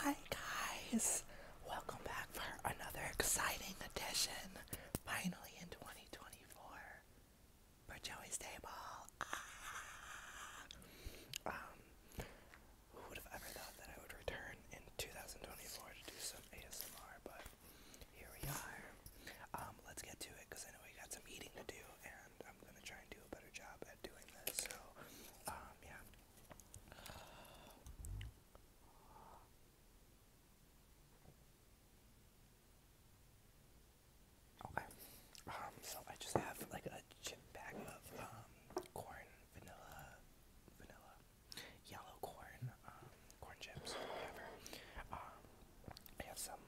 Hi guys, welcome back for another exciting edition, finally in 2024, for Joey's Table. Ah. Um, who would have ever thought that I would return in 2024 to do some ASMR, but here we are. Um, let's get to it, because I know we got some eating to do, I'm gonna try and do a better job at doing this. So, um, yeah. Okay. Um, so I just have like a chip bag of um, corn, vanilla, vanilla, yellow corn, corn chips, whatever. have some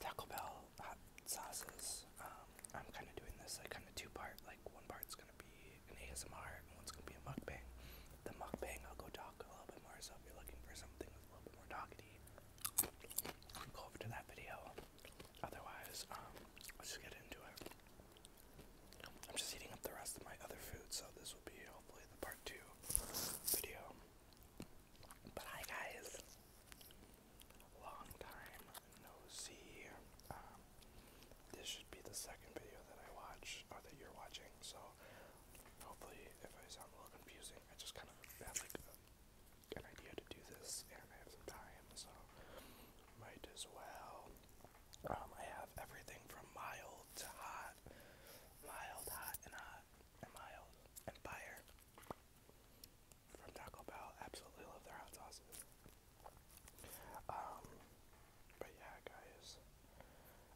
Taco Bell hot sauces. Um, I'm kind of doing this like kind of two part. Like one part is gonna be an ASMR and one's gonna be a mukbang. The mukbang, I'll go talk a little bit more. So if you're looking for something with a little bit more talky, go over to that video. Otherwise, um, let's get into it. I'm just eating up the rest of my other food, so this will be hopefully the part two video. But hi guys, long time no see. Um, this should be the second video that I watch, or that you're watching, so hopefully, if I sound a little confusing, I just kind of had like an idea to do this, and I have some time, so might as well. Um, I have everything from mild to hot, mild, hot, and hot, and mild, and fire from Taco Bell. Absolutely love their hot sauces. Um, but yeah, guys.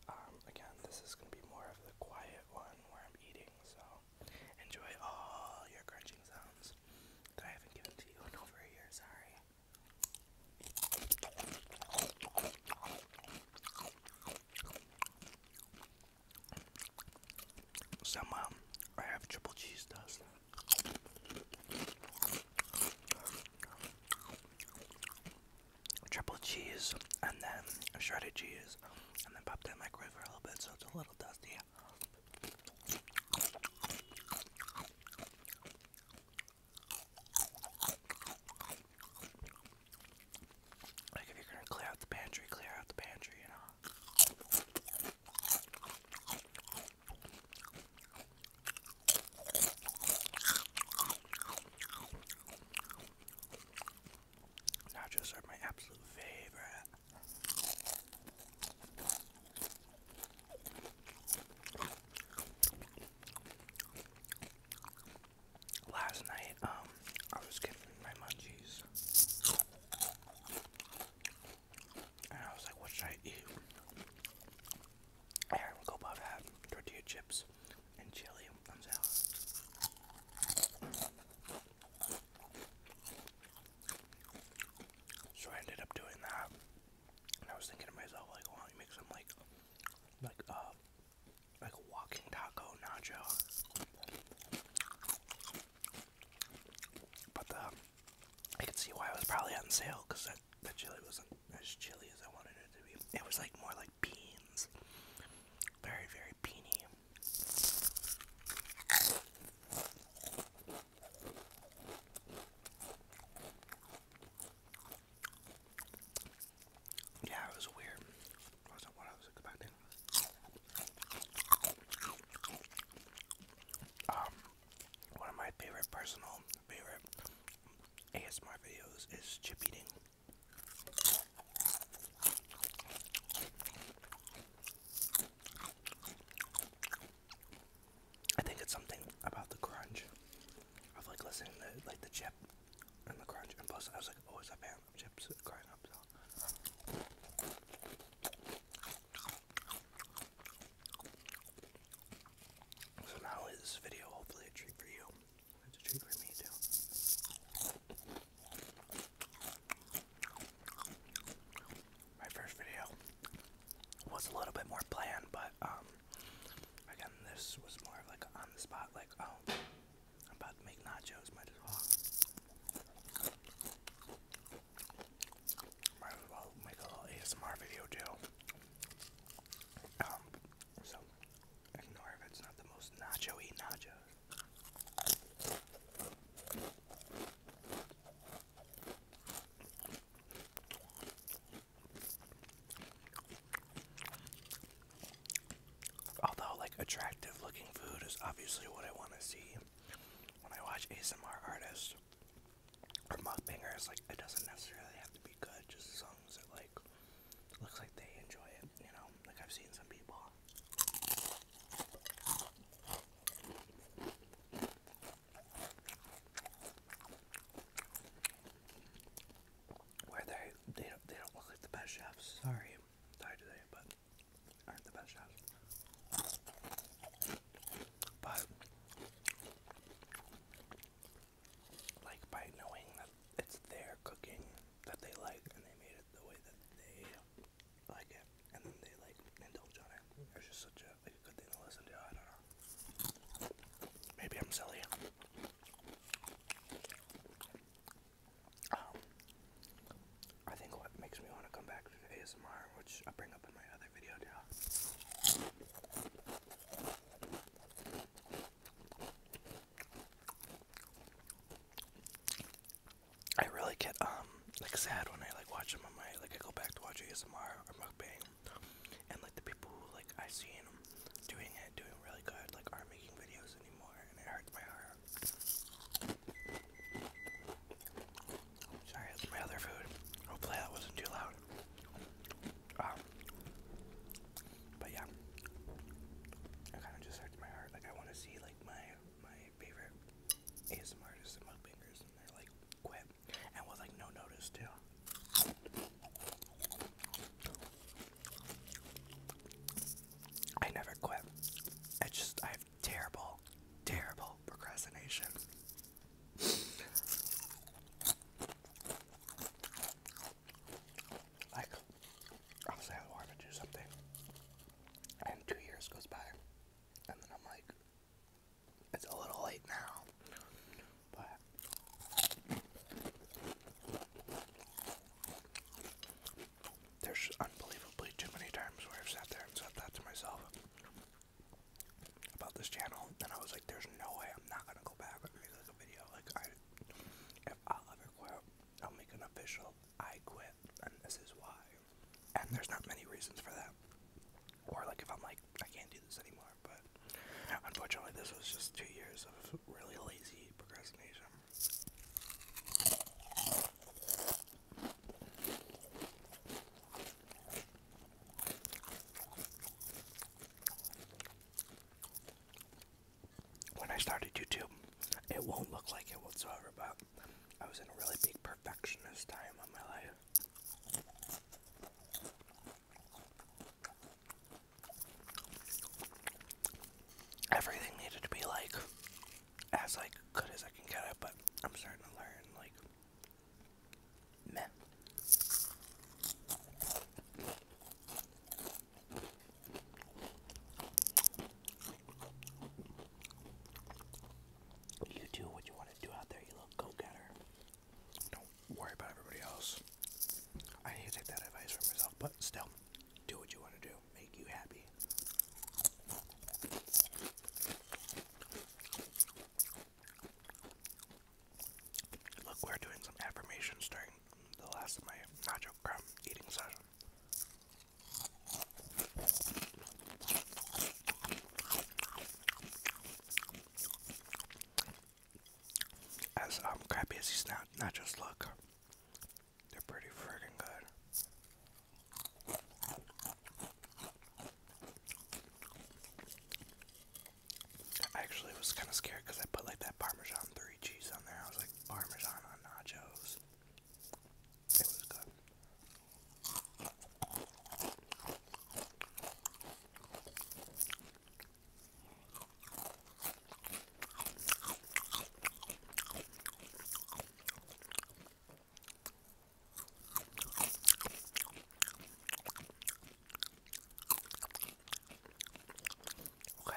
Um, again, this is gonna be more of the quiet one where I'm eating. So enjoy all your crunching sounds that I haven't given to you over a Sorry. Some um, I have triple cheese does. Triple cheese and then shredded cheese and then popped in the microwave for a little bit so it's a little dusty. Like if you're gonna clear out the pantry, clear out the pantry, you know. Nachos are my absolute favorite last night, um, I was getting my munchies. And I was like, what should I eat? I had go above had tortilla chips and chili and salad. So I ended up doing that. And I was thinking to myself, like, why don't you make some like like uh like a walking taco nacho. But the uh, I could see why it was probably on sale because that the chili wasn't as chili as I wanted it to be. It was like more like beans, very very beany yeah, it was weird. wasn't what I was expecting. Um, one of my favorite personal favorite ASMR videos is chip eating. I think it's something about the crunch of like listening to like the chip and the crunch. And plus, I was like always a fan so. now is this video hopefully a treat for you. It's a treat for me too. My first video was a little bit more planned, but um, again, this was more of like on the spot, like, oh, I'm about to make nachos, might as well. Might as well make a little ASMR video too. Um, so ignore if it's not the most nacho Although, like, attractive looking food is obviously what I want to see when I watch ASMR artists or mukbangers. Like, it doesn't necessarily have to be good, just songs that like, looks like they enjoy it, you know? Like, I've seen some people where they they don't, they don't look like the best chefs. Sorry, I'm tired today, but aren't the best chefs. But like by knowing that it's their cooking that they like and they made it the way that they like it and then they like indulge on it. It's just such a, like, a good thing to listen to. I don't know. Maybe I'm silly. I think what makes me want to come back to ASMR, which I bring up in my other video now, I really get um like sad when I like watch them on my like I go back to watch ASMR or mukbang, and like the people like I see between doing it, doing really good, like I'm making videos anymore, and it hurts my heart. Sorry, that's my other food. Hopefully that wasn't too loud. Um, but yeah, it kind of just hurts my heart. Like I want to see like my my favorite ASMR artists and mukbangers, and they're like quit, and with like no notice too. I never quit. I just, I have terrible, terrible procrastination. Like, obviously, I want to do something, and two years goes by, and then I'm like, it's a little late now. But there's unbelievably too many times where I've sat there and said that to myself about this channel, and I was like, "There's no way I'm not gonna go back and make like a video. Like, I, if i ever quit, I'll make an official. I quit, and this is why." And there's not many reasons for that. Or like if I'm like, I can't do this anymore. But unfortunately, this was just two years of really lazy procrastination. When I started YouTube, it won't look like it whatsoever, but I was in a really big perfectionist time of my life. Everything needed to be like as like good as I can get it, but I'm starting to learn like You do what you want to do out there, you little go getter. Don't worry about everybody else. I need to take that advice from myself, but still, do what you want to do. Make you happy. Look, we're doing some affirmations during the last of my nacho crumb eating session. As um, crabbies, not not just look. They're pretty friggin' good. I actually was kind of scared because I put like that Parmesan three cheese on there. I was like Parmesan on nachos. It was good. Okay.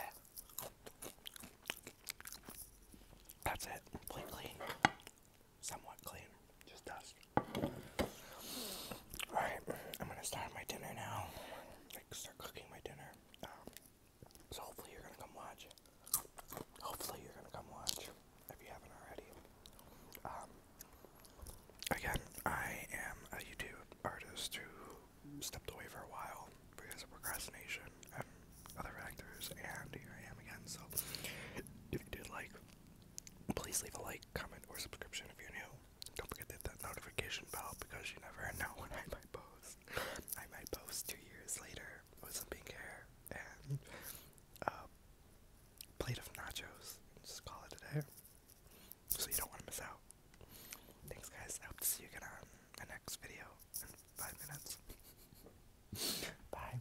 That's it. Completely clean. Somewhat clean. Just dust. Alright, I'm gonna start my dinner now. Like, start cooking my dinner. Um, so, hopefully, you're gonna come watch. Hopefully, you're gonna come watch if you haven't already. Um, again, I am a YouTube artist who stepped away for a while because of procrastination other factors, and here I am again. So, if you did like, Please leave a like, comment, or subscription if you're new. Don't forget to hit that notification bell because you never know when I might post. I might post two years later with some pink hair and a uh, plate of nachos just call it a day. So you don't want to miss out. Thanks, guys. I hope to see you again on the next video in five minutes. Bye.